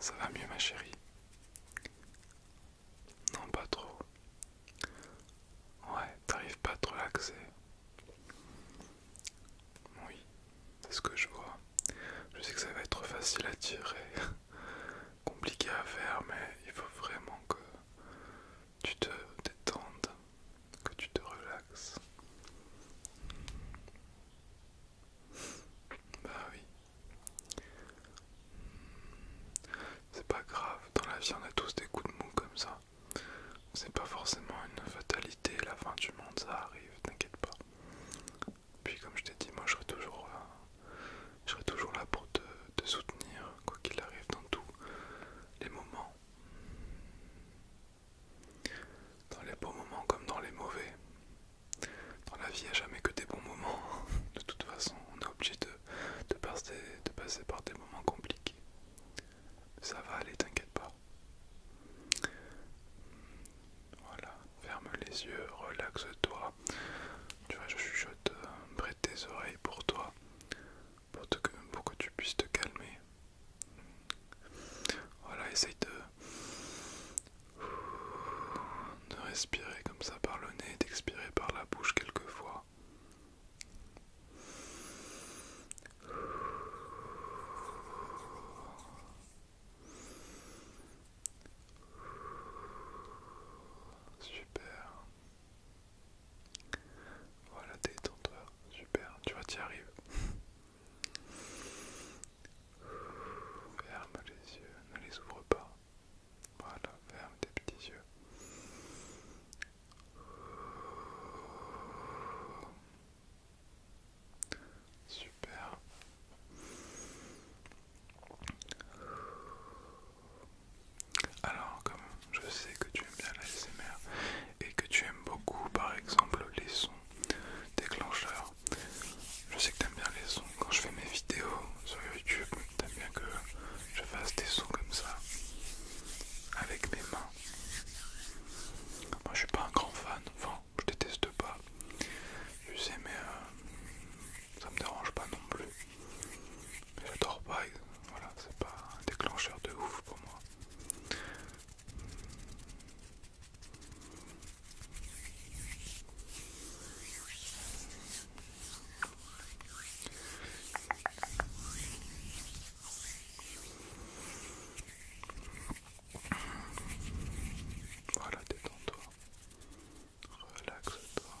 Ça va mieux ma chérie Non pas trop. Ouais, t'arrives pas à te relaxer. Oui, c'est ce que je vois. Je sais que ça va être facile à tirer, compliqué à faire, mais il faut vraiment que tu te détendes, que tu te relaxes. Bah oui. C'est pas grave, dans la vie on a tous des coups de mou comme ça. C'est pas forcément une fatalité, la fin du monde ça arrive, t'inquiète pas. Puis comme je t'ai dit, moi je serai toujours là. Euh, toujours là pour te soutenir, quoi qu'il arrive dans tous les moments. Dans les beaux moments comme dans les mauvais. Dans la vie, il n'y a jamais que des bons moments. De toute façon, on est obligé de, passer, par des moments compliqués. Ça va aller, t'inquiète pas. Voilà, ferme les yeux, relaxe-toi. Tu vois, je chuchote euh, près de tes oreilles pour toi, pour, pour que tu puisses te calmer. Voilà, essaye de, de respirer comme ça par le nez, d'expirer par la bouche quelquefois. Super. Voilà, détends-toi. Super, tu vois, tu arrives. Ferme les yeux, ne les ouvre pas. Voilà, ferme tes petits yeux. Super. Alors, comme je sais que tu aimes bien la l'ASMR et que tu aimes beaucoup, par exemple, les sons déclencheurs je sais que t'aimes bien les sons quand je fais mes vidéos sur YouTube, t'aimes bien que je fasse des sons comme ça avec mes mains. Moi je suis pas un grand fan, enfin je déteste pas, je sais mais euh, ça me dérange pas non plus. J'adore pas, voilà, c'est pas un déclencheur de ouf pour moi. Voilà, détends-toi. Relaxe-toi. toi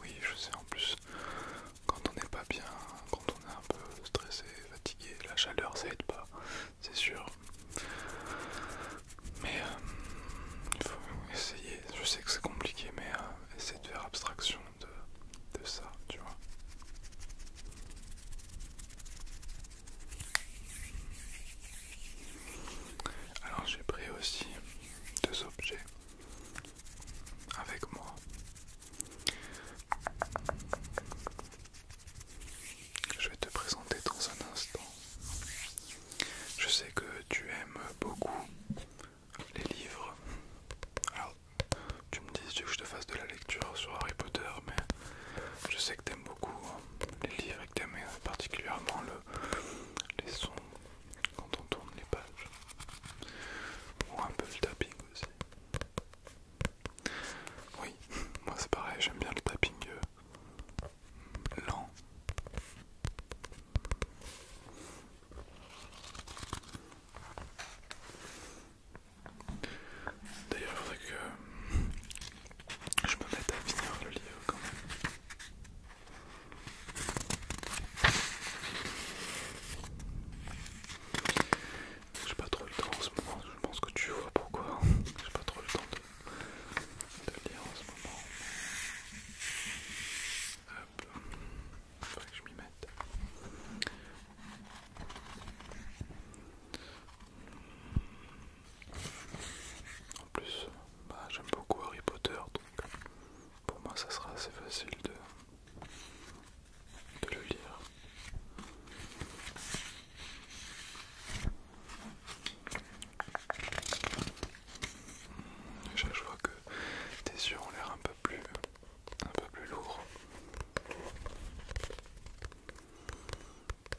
oui, je sais en plus, quand on n'est pas bien, quand on est un peu stressé, fatigué, la chaleur ça aide pas, c'est sûr. Mais euh, il faut essayer, je sais que c'est compliqué, mais euh, essayer de faire abstraction de ça, tu vois. Alors j'ai pris aussi deux objets avec moi. Je vais te présenter dans un instant. Je sais que tu aimes beaucoup les livres. Alors, tu me dis que je te fasse de la lecture sur Harry Potter, mais je sais que tu aimes beaucoup hein, les livres et que aimes particulièrement le, les sons quand on tourne les pages. Ou un peu le tapping aussi. Oui, moi c'est pareil, j'aime bien le tapping euh, lent. D'ailleurs, il faudrait que euh, je me mette à finir le livre quand même. J'ai pas trop le temps en ce moment, je pense que tu vois pourquoi. J'ai pas trop le temps de, lire en ce moment. Hop, faudrait que je m'y mette. En plus, bah, j'aime beaucoup Harry Potter, donc pour moi ça sera assez facile de, le lire. je vois que tes yeux ont l'air un peu plus, un peu plus lourds.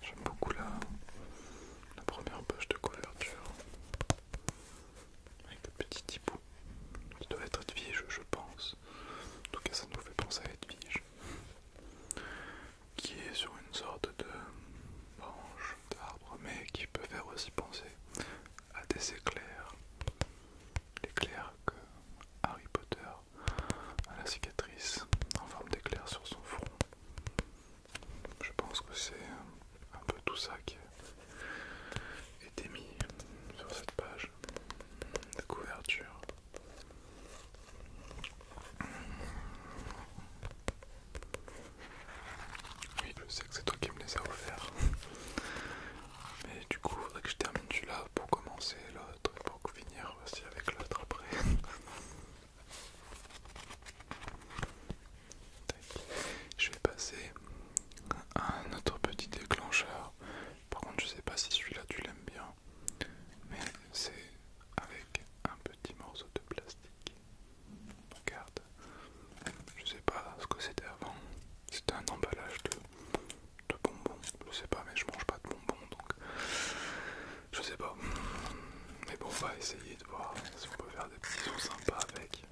J'aime beaucoup là la première poche de couverture avec le petit hibou qui doit être Edwige, je pense. En tout cas, ça nous fait penser à Edwige qui est sur une sorte de branche d'arbre, mais qui peut faire aussi penser à des éclairs, l'éclair que Harry Potter à la cicatrice en forme d'éclair sur son front. Je pense que c'est un peu tout ça qui est mis sur cette page de couverture. Oui, je sais que c'est toi qui me les as offerts. Mais du coup, il faudrait que je termine celui-là pour commencer l'autre pour finir aussi avec l'autre après. Je vais passer à un autre petit déclencheur. Par contre, je sais pas si celui-là tu l'aimes bien, mais c'est avec un petit morceau de plastique. Regarde, je sais pas ce que c'était avant. C'était un emballage de, bonbons. Je sais pas, mais je mange pas de bonbons donc. Je sais pas. Mais bon, on va essayer de voir si on peut faire des petits choses sympas avec.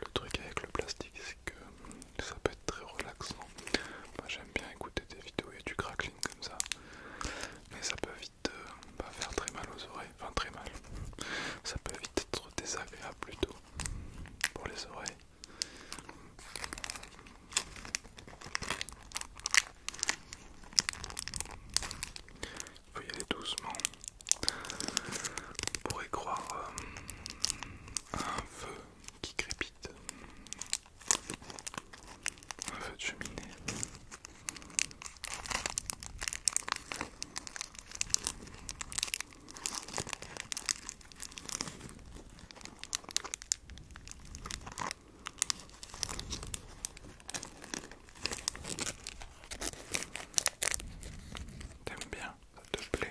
le truc avec le plastique, c'est que ça peut être très relaxant. Moi j'aime bien écouter des vidéos et du crackling comme ça, mais ça peut vite euh, bah, faire très mal aux oreilles, enfin très mal, ça peut vite être désagréable plutôt pour les oreilles. Il faut y aller doucement. On pourrait croire euh, un feu qui crépite un feu de cheminée. T'aimes bien, ça te plaît.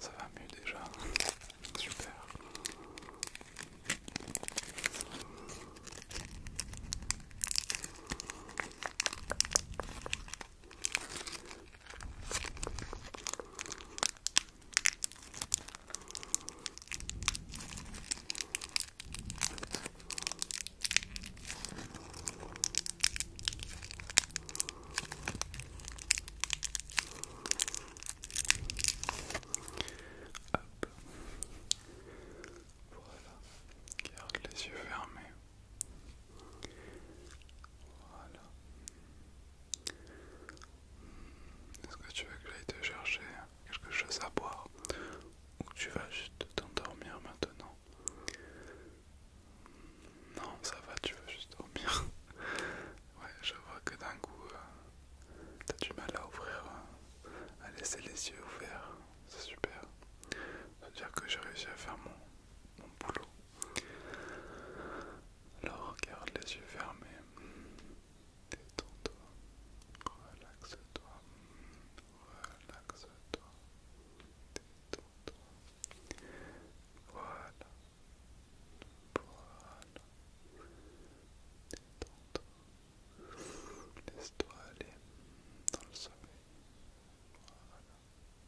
Ça va mieux déjà. Super. Voilà. Garde les yeux fermés. Voilà. Est-ce que tu veux que j'aille te chercher quelque chose à boire ou que tu vas juste t'endormir maintenant Non, ça va, tu veux juste dormir. ouais, je vois que d'un coup, euh, t'as du mal à ouvrir, euh, à laisser les yeux ouverts. C'est super. Ça veut dire que j'ai réussi à faire mon boulot. Alors regarde les yeux fermés. Détends-toi. Relaxe-toi. Relaxe-toi. Détends-toi. Voilà. Voilà. Détends-toi. Laisse-toi aller dans le sommeil. Voilà.